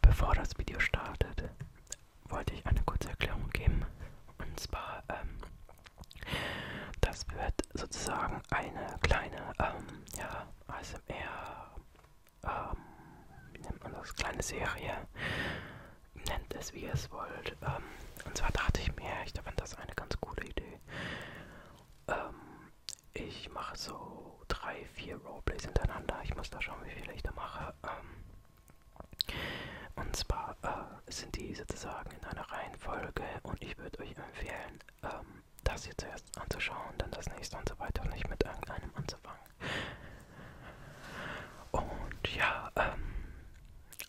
Bevor das Video startet, wollte ich eine kurze Erklärung geben. Und zwar, ähm, das wird sozusagen eine kleine, ähm, ja, ASMR, ähm, wie nennt man das, kleine Serie. Nennt es, wie ihr es wollt. Ähm, und zwar dachte ich mir, ich fand das eine ganz coole Idee. Ähm, ich mache so drei, vier Roleplays hintereinander. Ich muss da schauen, wie viele ich da mache. Ähm, und zwar äh, sind die sozusagen in einer Reihenfolge und ich würde euch empfehlen, ähm, das hier zuerst anzuschauen, dann das nächste und so weiter und nicht mit irgendeinem anzufangen. Und ja, ähm,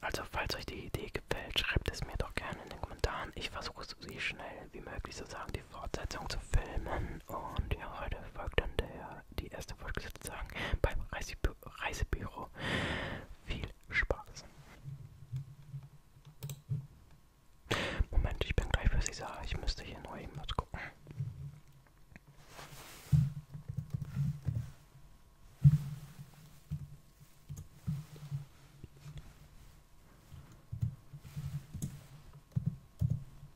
also falls euch die Idee gefällt, schreibt es mir doch gerne in den Kommentaren. Ich versuche so schnell wie möglich sozusagen die Fortsetzung zu filmen und ja, heute folgt dann der, die erste Folge sozusagen beim Reisebü Reisebüro. Viel Spaß. Moment, ich bin gleich für Sie da. Ich müsste hier nur eben was gucken.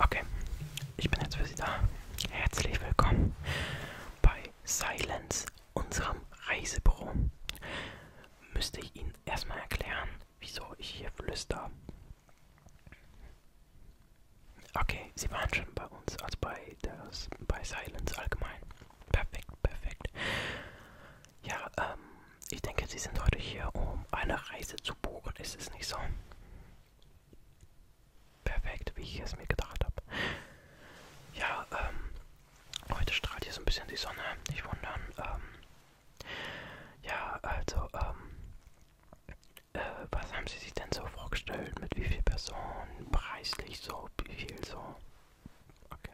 Okay, ich bin jetzt für Sie da. Herzlich willkommen bei Silence, unserem Reisebüro. Müsste ich Ihnen erstmal erklären, wieso ich hier flüster. Okay, sie waren schon bei uns, als bei, das, bei Silence allgemein. Perfekt, perfekt. Ja, ähm, ich denke, Sie sind heute hier, um eine Reise zu buchen, ist es nicht so? Perfekt, wie ich es mir gedacht habe. Ja, ähm, heute strahlt hier so ein bisschen die Sonne, nicht wundern. Ähm, ja, also, ähm, äh, was haben Sie sich denn so vorgestellt? Mit wie viel Personen? Preislich so? überhaupt wie viel so? Okay.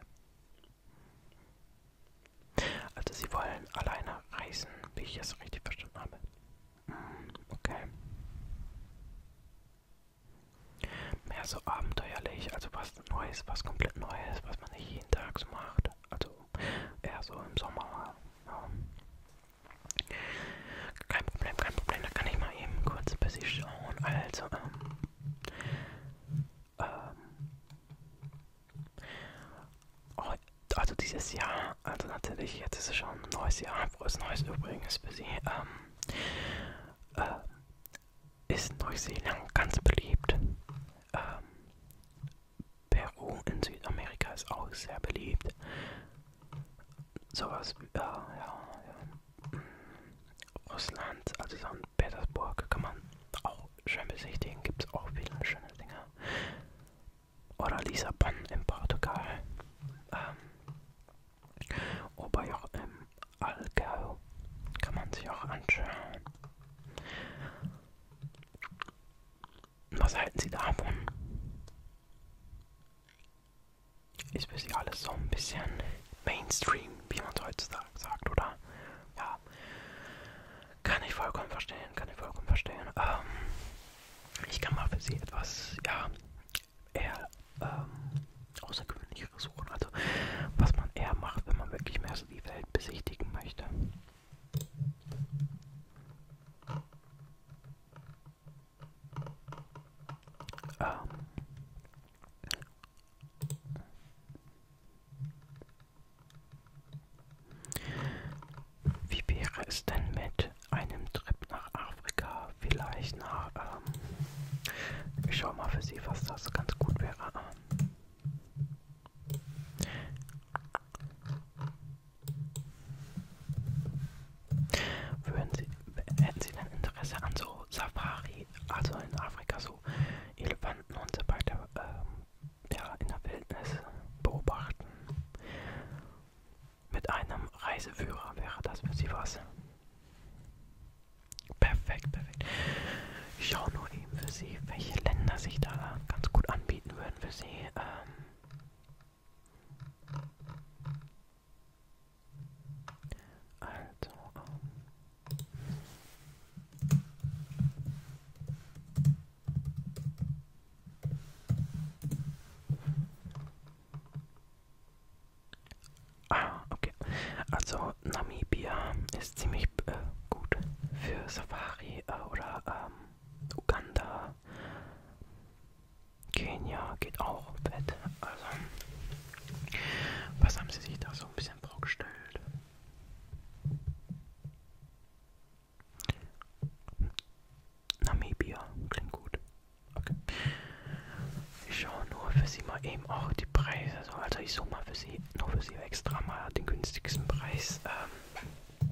Also sie wollen alleine reisen, wie ich es richtig verstanden habe. Mm, okay. Mehr so abenteuerlich, also was Neues, was komplett Neues, was man nicht jeden Tag so macht. Also eher so im Sommer. Ja. Kein Problem, kein Problem, da kann ich mal eben kurz ein bisschen schauen. Also, ähm, ähm, oh, also dieses Jahr, also natürlich, jetzt ist es schon ein neues Jahr, frohes Neues übrigens für Sie, ähm, äh, ist Neuseeland ganz beliebt. Ähm, Peru in Südamerika ist auch sehr beliebt. Sowas, äh, ja, ja. Russland, also St. Petersburg, kann man auch schön besichtigen. Gibt es auch viele schöne Dinge. Oder Lissabon in Portugal. Ähm, Oberjoch im Allgäu kann man sich auch anschauen. Was halten Sie davon? Ist bis ja alles so ein bisschen Mainstream, wie man es heutzutage sagt, oder? Ja. Kann ich vollkommen verstehen, kann ich vollkommen verstehen. Ähm, ich kann mal für Sie etwas, ja, eher ähm, außergewöhnlicheres suchen. Also, was man eher macht, wenn man wirklich mehr so die Welt besichtigen möchte. Ähm. Wie wäre es denn mit einem Trip nach Afrika? Vielleicht nach, ähm, ich schau mal für Sie, was das ganz gut wäre. Würden Sie, hätten Sie denn Interesse an so Safari, also in Afrika so Elefanten und so weiter ähm, ja, in der Wildnis beobachten? Mit einem Reiseführer wäre das für Sie was? Perfekt, perfekt. Ich schaue nur eben für Sie, welche Länder sich da ganz gut anbieten würden für Sie. Ähm, also, ähm. Ah, okay. Also Namibia ist ziemlich äh, gut für Safari äh, oder ähm, Uganda. Kenia geht auch Bett. Also, was haben Sie sich da so ein bisschen vorgestellt? Namibia klingt gut. Okay. Ich schaue nur für Sie mal eben auch die Preise. Also, also ich suche mal für Sie, nur für Sie extra mal den günstigsten Preis. Ähm,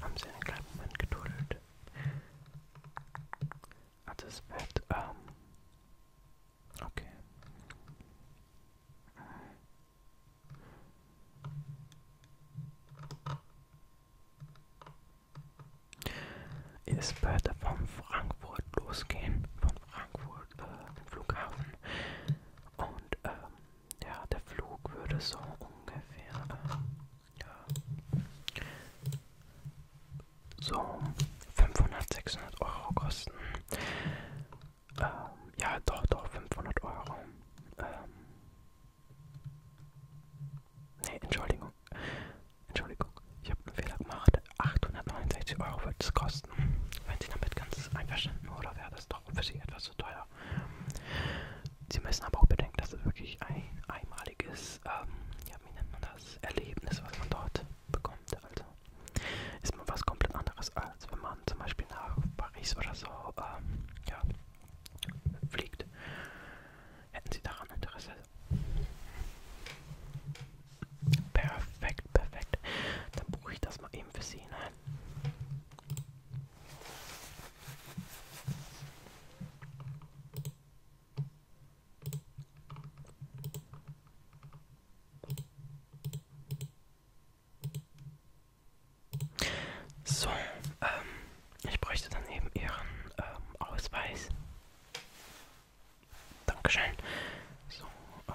Haben Sie einen kleinen Moment geduldet? Also es wird, ähm, okay. Es wird von Frankfurt losgehen, vom Frankfurt äh, Flughafen. Und ähm, ja, der Flug würde so ungefähr äh, ja, so 500, 600 Euro kosten. Ähm, ja, doch, doch, 500 Euro. Ähm, ne, Entschuldigung. Entschuldigung, ich habe einen Fehler gemacht. 869 Euro wird es kosten. Wenn Sie damit ganz einverstanden oder wäre das doch für Sie etwas zu teuer? Sie müssen aber auch bedenken, dass es wirklich ein einmaliges, ähm, ja, wie nennt man das, Erlebnis, was man dort bekommt. Also ist man was komplett anderes, als wenn man zum Beispiel nach Paris oder so ähm, ja, fliegt. Hätten Sie daran Interesse, Perfekt, perfekt. Dann buche ich das mal eben für Sie. Ne? So, ähm, ich bräuchte dann eben Ihren ähm, Ausweis. Dankeschön. So. Ähm.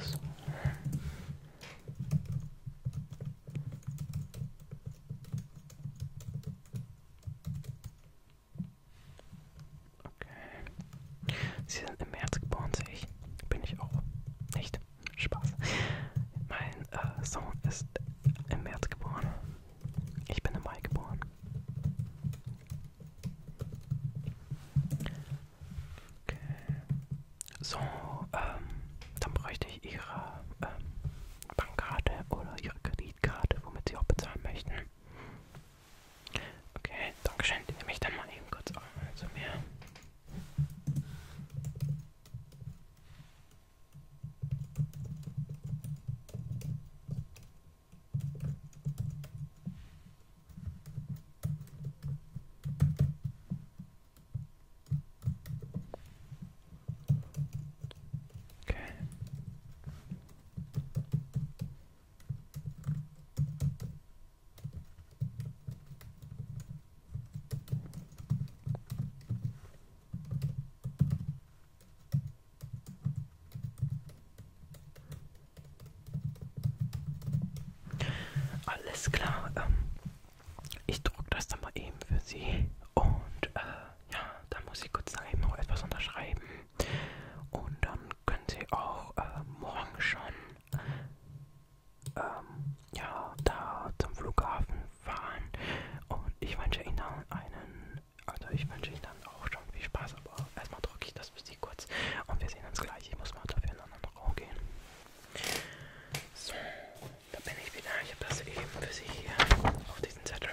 So. Okay. Sie sind im März geboren, sehe ich. Bin ich auch. Nicht. Spaß. Mein äh, Sohn ist im März geboren. Ich bin im Mai geboren. Okay. So, ähm, dann bräuchte ich Ihre ähm, Bankkarte oder Ihre Kreditkarte, womit Sie auch bezahlen möchten. Okay, Dankeschön. Die nehme ich dann mal eben kurz zu mir. Okay. Alles klar. Ähm, ich druck das dann mal eben für Sie. Und äh, ja, dann muss ich kurz daneben noch etwas unterschreiben. Und dann können Sie auch äh, morgen schon ähm, ja, da zum Flughafen fahren. Und ich wünsche Ihnen dann einen, also ich wünsche Ihnen dann auch schon viel Spaß, aber erstmal drücke ich das für Sie kurz. Und wir sehen uns gleich. Ich muss mal dafür in einen anderen Raum gehen. So, da bin ich wieder. Ich habe das eben für Sie hier auf diesen Zettel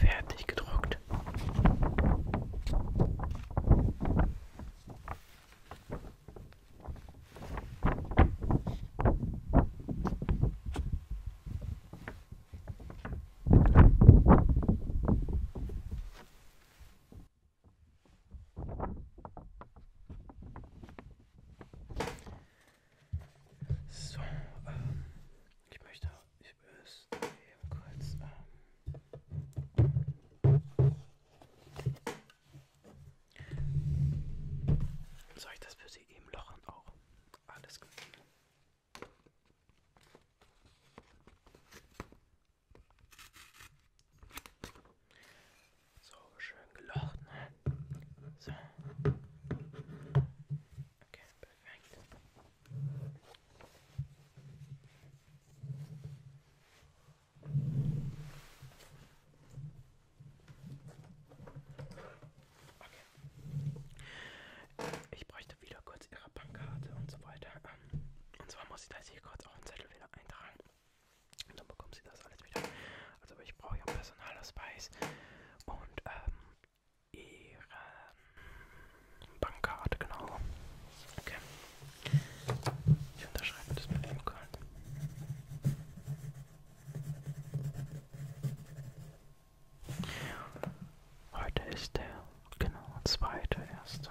fertig gedruckt. So, ähm, ich möchte ich es eben kurz. Ähm, soll ich das für Sie eben lochen auch? Alles gut. So, schön gelocht, ne? So. Okay, perfekt. Okay. Ich bräuchte wieder kurz ihre Bankkarte und so weiter. Ähm, und zwar muss ich das hier kurz auf den Zettel wieder eintragen. Und dann bekommen sie das alles wieder. Also ich brauche ja Personalausweis und ähm, ihre Bankkarte, genau. Okay. Ich unterschreibe das mit dem Code. Heute ist der genau zweite erste.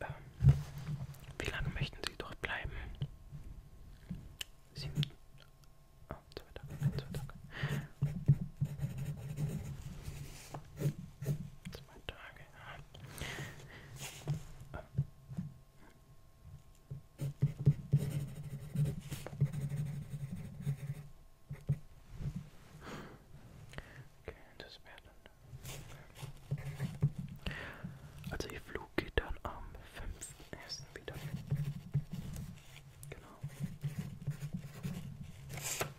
Ähm, wie lange möchten Sie dort bleiben? Sie, oh, zwei Tage, zwei Tage. Zwei Tage. Ja. Okay, das wäre dann. Also ihr Flug geht dann am 5.1. wieder. Genau.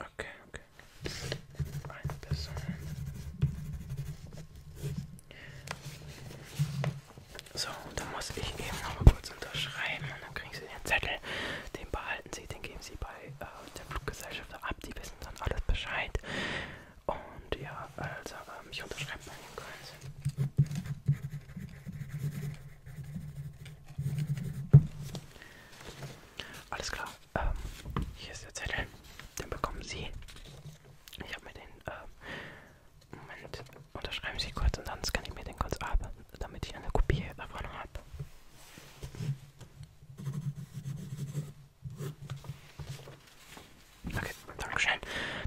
Okay, okay. Eine Person. So, dann muss ich eben noch mal kurz unterschreiben und dann kriegen Sie den Zettel. Den behalten Sie, den geben Sie bei äh, der Fluggesellschaft ab. Die wissen dann alles Bescheid. Und ja, also ähm, ich unterschreibe mal den Kreis. Alles klar, ähm, hier ist der Zettel. Den bekommen Sie. Ich habe mir den, äh, Moment, unterschreiben Sie kurz und dann scanne ich mir den kurz ab, damit ich eine Kopie davon habe. Okay, danke schön.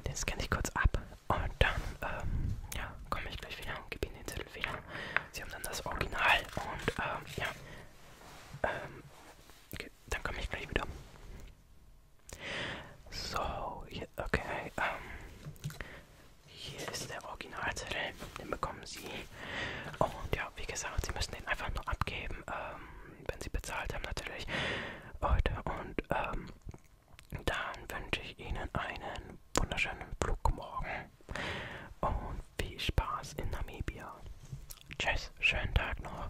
Den scanne ich kurz ab und dann, ähm, ja, komme ich gleich wieder und gebe Ihnen den Zettel wieder. Sie haben dann das Original und, ähm, ja, ähm, okay, dann komme ich gleich wieder. So, hier, okay, ähm, hier ist der Originalzettel, den bekommen Sie. Und ja, wie gesagt, Sie müssen den einfach nur abgeben, ähm, wenn Sie bezahlt haben natürlich heute. Und, ähm, dann wünsche ich Ihnen einen wunderschönen Flugmorgen und viel Spaß in Namibia. Tschüss, schönen Tag noch.